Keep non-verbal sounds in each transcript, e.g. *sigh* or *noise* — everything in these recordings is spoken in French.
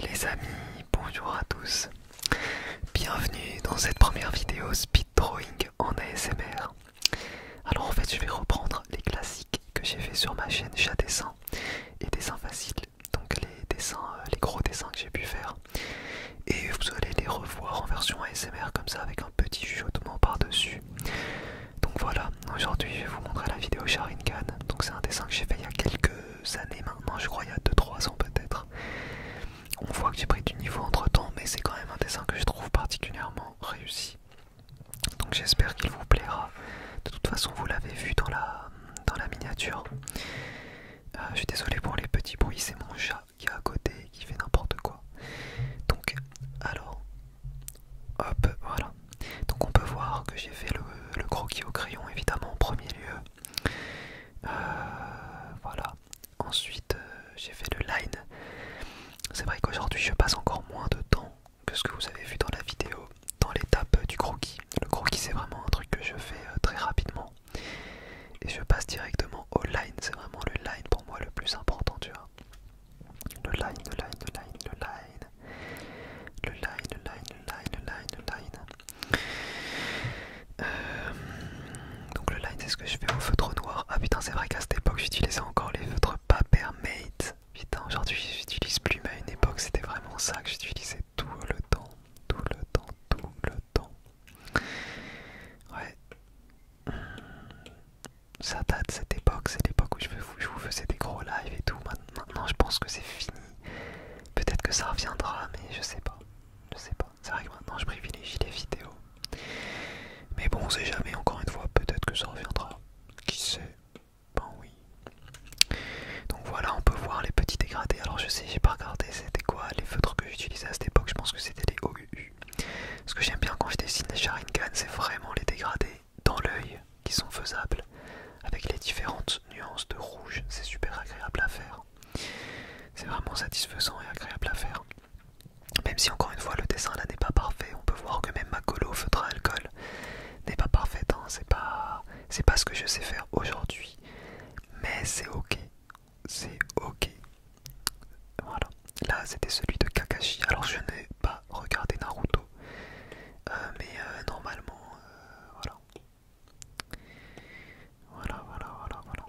Les amis, bonjour à tous. Bienvenue dans cette première vidéo speed drawing en ASMR. Alors en fait, je vais reprendre les classiques que j'ai fait sur ma chaîne chat dessin et dessin facile. Donc les dessins, euh, les gros dessins que j'ai pu faire. Et vous allez les revoir en version ASMR comme ça avec un petit chuchotement par-dessus. Donc voilà, aujourd'hui je vais vous montrer la vidéo Sharingan. Donc c'est un dessin que j'ai fait il y a quelques euh, années maintenant, je crois il y a 2-3 ans peut-être. On voit que j'ai pris du niveau entre temps, mais c'est quand même un dessin que je trouve particulièrement réussi. Donc j'espère qu'il vous plaira. De toute façon, vous l'avez vu dans la, dans la miniature. Euh, je suis désolé pour les petits bruits, c'est mon chat qui est à côté qui fait n'importe quoi. Donc, alors, hop, voilà. Donc on peut voir que j'ai fait le, croquis au crayon évidemment en premier lieu. Euh, voilà. Ensuite euh, j'ai fait le line. C'est vrai qu'aujourd'hui je passe encore moins de temps que ce que vous avez vu dans la vidéo, dans l'étape du croquis. Le croquis c'est vraiment un truc que je fais euh, très rapidement. Et je passe directement au line. C'est vraiment le line pour moi le plus important, tu vois. Le line, le line, le line, le line le line, le line, le line, le line, le line. Euh, donc le line c'est ce que je fais au feutre noir. Ah putain c'est vrai qu'à cette époque j'utilisais encore les feutres paper made Putain aujourd'hui j'utilise plus mais à une époque c'était vraiment ça que j'utilisais tout le temps, tout le temps, tout le temps. Ouais ça date cette époque, c'est l'époque où je vous, faisais des gros lives et tout. Maintenant, je pense que c'est fini. Peut-être que ça reviendra, mais je sais pas. Je sais pas. C'est vrai que maintenant, je privilégie les vidéos. Mais bon, on sait jamais, encore une fois, peut-être que ça reviendra. Qui sait Ben oui. Donc voilà, on peut voir les petits dégradés. Alors, je sais, j'ai pas regardé c'était quoi les feutres que j'utilisais à cette époque. Je pense que c'était les OUU. Ce que j'aime bien quand je dessine les Sharingan, c'est vraiment les dégradés dans l'œil qui sont faisables avec les différentes nuances de rouge. C'est super agréable à faire. C'est vraiment satisfaisant et agréable à faire. Même si encore une fois le dessin là n'est pas parfait, on peut voir que même ma colo feutre alcool n'est pas parfaite. Hein. C'est pas, c'est pas ce que je sais faire aujourd'hui, mais c'est ok, c'est ok. Voilà. Là, c'était celui de Kakashi. Alors, je n'ai pas regardé Naruto, euh, mais euh, normalement, euh, voilà. Voilà, voilà, voilà,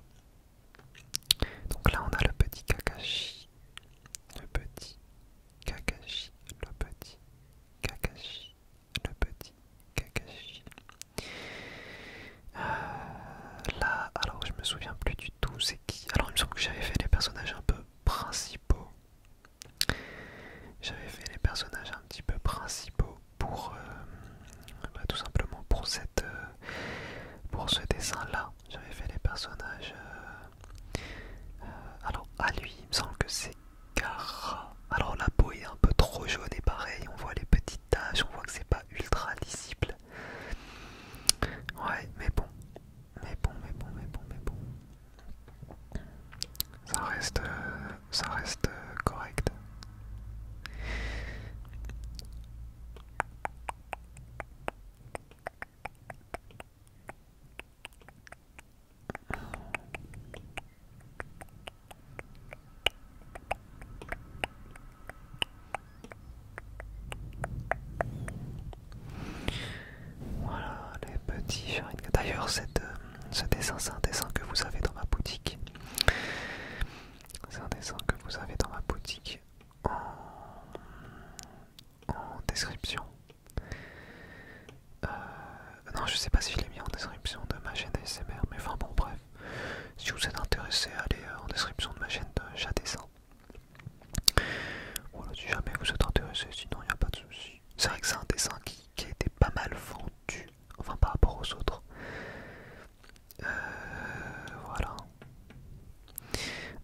Donc là, on a le petit Kakashi, le petit Kakashi, le petit Kakashi, le petit Kakashi. là, alors, je me souviens plus du alors il me semble que j'avais fait les personnages un peu principaux. J'avais fait les personnages un petit peu principaux pour euh, bah, tout simplement pour cette euh, pour ce dessin là. J'avais fait les personnages. Euh, alors à lui il me semble que c'est Kara. Alors la peau est un peu trop jaune et pareil on voit les petites taches, on voit que c'est pas ultra lisible. Ouais mais bon mais bon, mais bon, mais bon, mais bon. Ça reste, euh, ça reste euh, correct. Voilà les petits D'ailleurs, euh, ce dessin, c'est un dessin que vous avez dans ma boutique. C'est un dessin que vous avez dans ma boutique en, description. Euh, non, je sais pas si je l'ai mis en description de ma chaîne ASMR, mais enfin bon, bref. Si vous êtes intéressé, allez euh, en description de ma chaîne de chat dessin voilà, si jamais vous êtes intéressé, sinon il n'y a pas de souci. C'est vrai que c'est un dessin qui, qui a été pas mal vendu, enfin par rapport aux autres. Euh, voilà.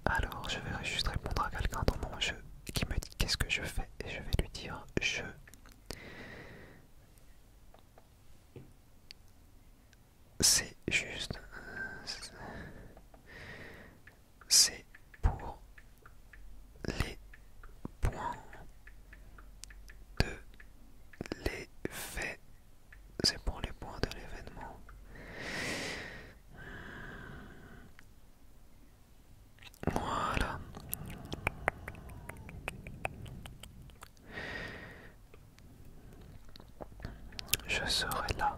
Alors, je vais juste répondre à quelqu'un dans mon jeu qui me dit qu'est-ce que je fais et je vais lui dire je c'est juste. C'est pour les points de les faits C'est pour les points de l'événement. Voilà. Je serai là.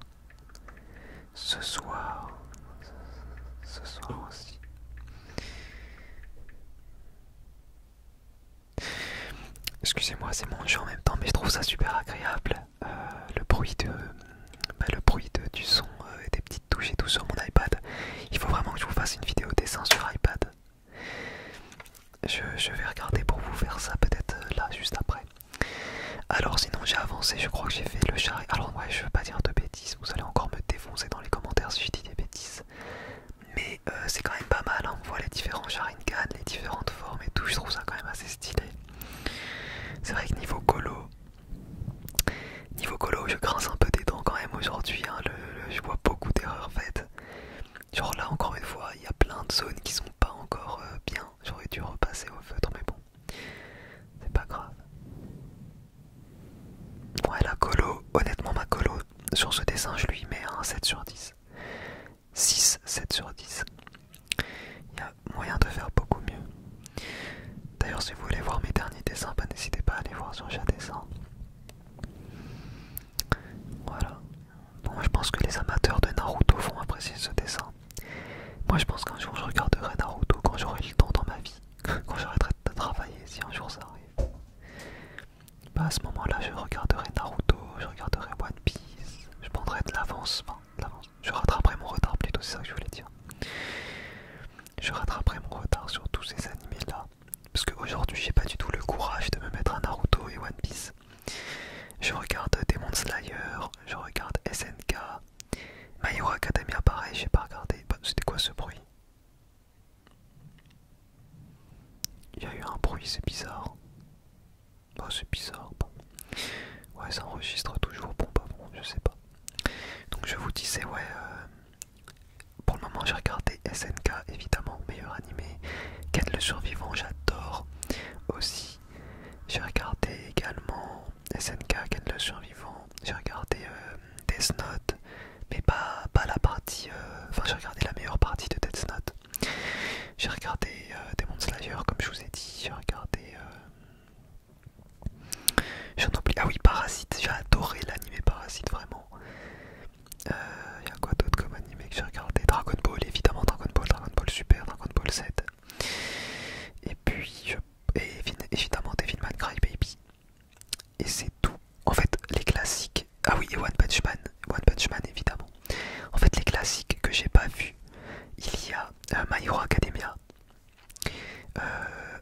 Ce soir. Ce soir aussi. Excusez-moi, c'est mon jeu en même temps, mais je trouve ça super agréable. Euh, le bruit de, bah, le bruit du son euh, et des petites touches et tout sur mon iPad. Il faut vraiment que je vous fasse une vidéo dessin sur iPad. Je, vais regarder pour vous faire ça peut-être euh, là juste après. Alors sinon j'ai avancé, je crois que j'ai fait le char... Alors ouais je veux pas dire de bêtises, vous allez encore me défoncer dans les commentaires si je dis des bêtises. Mais euh, c'est quand même pas mal, hein, on voit les différents Sharingan, les différentes formes et tout, je trouve ça quand même assez stylé. C'est vrai que niveau colo, niveau colo je grince un peu des dents quand même aujourd'hui, hein, je vois beaucoup d'erreurs faites. Genre là encore une fois, il y a plein de zones qui sont pas encore euh, bien. J'aurais dû repasser au feutre, mais bon, c'est pas grave. Ouais, la colo, honnêtement, ma colo sur ce dessin, je lui mets un 7 sur 10. 6, 7 sur 10. Il y a moyen de faire beaucoup mieux. D'ailleurs, si vous voulez voir mes derniers dessins, bah, n'hésitez pas à aller voir sur dessin. Voilà. Bon, je pense que les amateurs de Naruto vont apprécier ce dessin. Moi, je pense qu'un jour, je regarderai Naruto quand j'aurai le temps dans ma vie, *laughs* quand j'arrêterai de travailler, si un jour ça arrive. Bah, à ce moment-là, je regarderai Naruto, je regarderai One Piece, je prendrai de l'avancement. Je rattraperai mon retard plutôt, c'est ça que je voulais dire. Je rattraperai mon retard sur tous ces animés-là parce qu'aujourd'hui, j'ai pas du tout le courage de me mettre à Naruto et One Piece. Je regarde Demon Slayer, je regarde SNK, My Hero Academia, pareil, j'ai pas regardé. Bah, c'était quoi ce bruit Il y a eu un bruit, c'est bizarre. Bah, c'est bizarre. Ouais, ça enregistre toujours. Bon, bah, bon, je sais pas. Donc, je vous disais, ouais, euh, pour le moment, j'ai regardé SNK, évidemment, meilleur animé. Ken le survivant, j'adore aussi. J'ai regardé également SNK, Ken le survivant. J'ai regardé euh, Death Note, mais pas, la partie. Euh, enfin, j'ai regardé la meilleure partie de Death Note. J'ai regardé euh, Demon Slayer, comme je vous ai dit. J'ai regardé. J'en oublie. Ah oui, Parasite, j'ai adoré l'anime Parasite, vraiment. Il euh, y a quoi d'autre comme animé que j'ai regardé Dragon Ball, évidemment, Dragon Ball, Dragon Ball Super, Dragon Ball Z. Et puis, évidemment, Devilman baby Et c'est tout. En fait, les classiques. Ah oui, et One Punch Man. One Punch Man, évidemment. En fait, les classiques que j'ai pas vus, il y a euh, My Hero Academia. Euh,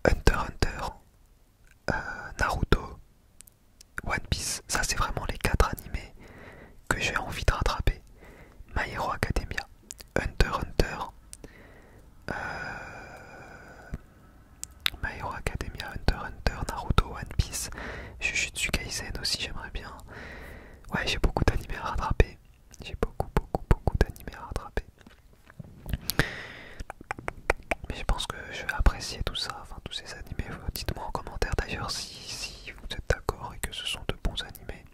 Hunter Hunter, euh, Naruto, One Piece, ça c'est vraiment les 4 animés que j'ai envie de rattraper. My Hero Academia, Hunter Hunter, euh, My Hero Academia, Hunter Hunter, Naruto, One Piece, Jujutsu Kaisen aussi j'aimerais bien. Ouais j'ai beaucoup d'animés à rattraper. J'ai beaucoup beaucoup beaucoup d'animés à rattraper. Mais je pense que je vais apprécier tout ça, enfin tous ces animés. Dites-moi en commentaire d'ailleurs si, si vous êtes d'accord et que ce sont de bons animés.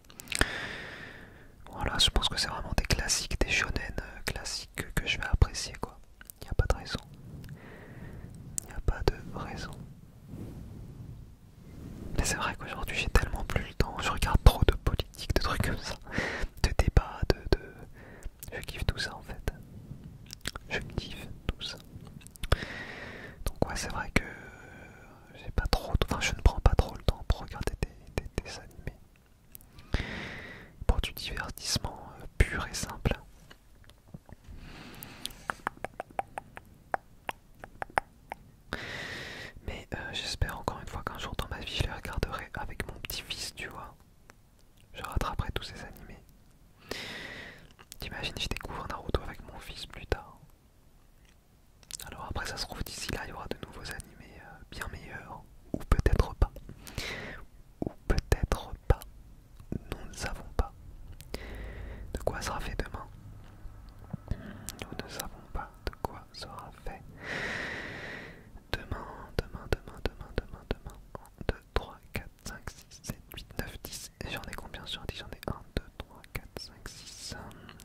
Voilà, je pense que c'est vraiment des classiques, des shonen euh, classiques que je vais apprécier quoi. Il n'y a pas de raison. Il n'y a pas de raison. Mais c'est vrai qu'aujourd'hui j'ai tellement plus le temps, je regarde trop de de trucs comme ça, de débats, de, Je kiffe tout ça en fait. Je kiffe tout ça. Donc ouais, c'est vrai que j'ai pas trop... Enfin, je ne prends pas trop le temps pour regarder des animés. Pour du divertissement euh, pur et simple. Mais euh, j'espère encore une fois qu'un jour dans ma vie, je les regarderai avec mon petit-fils, tu vois. Je rattraperai tous ces animés. T'imagines, je découvre Naruto avec mon fils plus tard. Alors après, ça se trouve d'ici là, il y aura de nouveaux animés euh, bien meilleurs. Ou peut-être pas. Ou peut-être pas. Nous ne savons pas. De quoi sera fait demain Nous ne savons pas de quoi sera fait demain, demain, demain, demain, demain, demain. 1, 2, 3, 4, 5, 6, 7, 8, 9, 10. J'en ai combien sur 10 J'en ai 1, 2, 3, 4, 5, 6.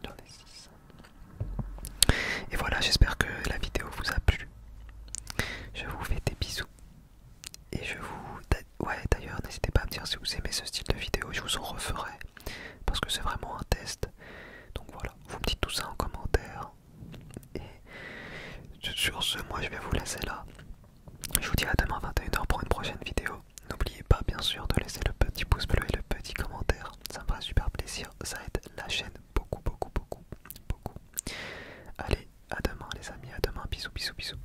J'en ai 6. Et voilà, j'espère que la vidéo vous a plu. Je vous fais des bisous. Et je vous. Ouais, d'ailleurs, n'hésitez pas à me dire si vous aimez ce style de vidéo, je vous en referai parce que c'est vraiment un test. Donc voilà, vous me dites tout ça en commentaire. Et sur ce, moi je vais vous laisser là. Je vous dis à demain 21h pour une prochaine vidéo. N'oubliez pas bien sûr de laisser le petit pouce bleu et le petit commentaire. Ça me fera super plaisir. Ça aide la chaîne beaucoup, beaucoup, beaucoup, beaucoup. Allez, à demain les amis, à demain. Bisous, bisous, bisous.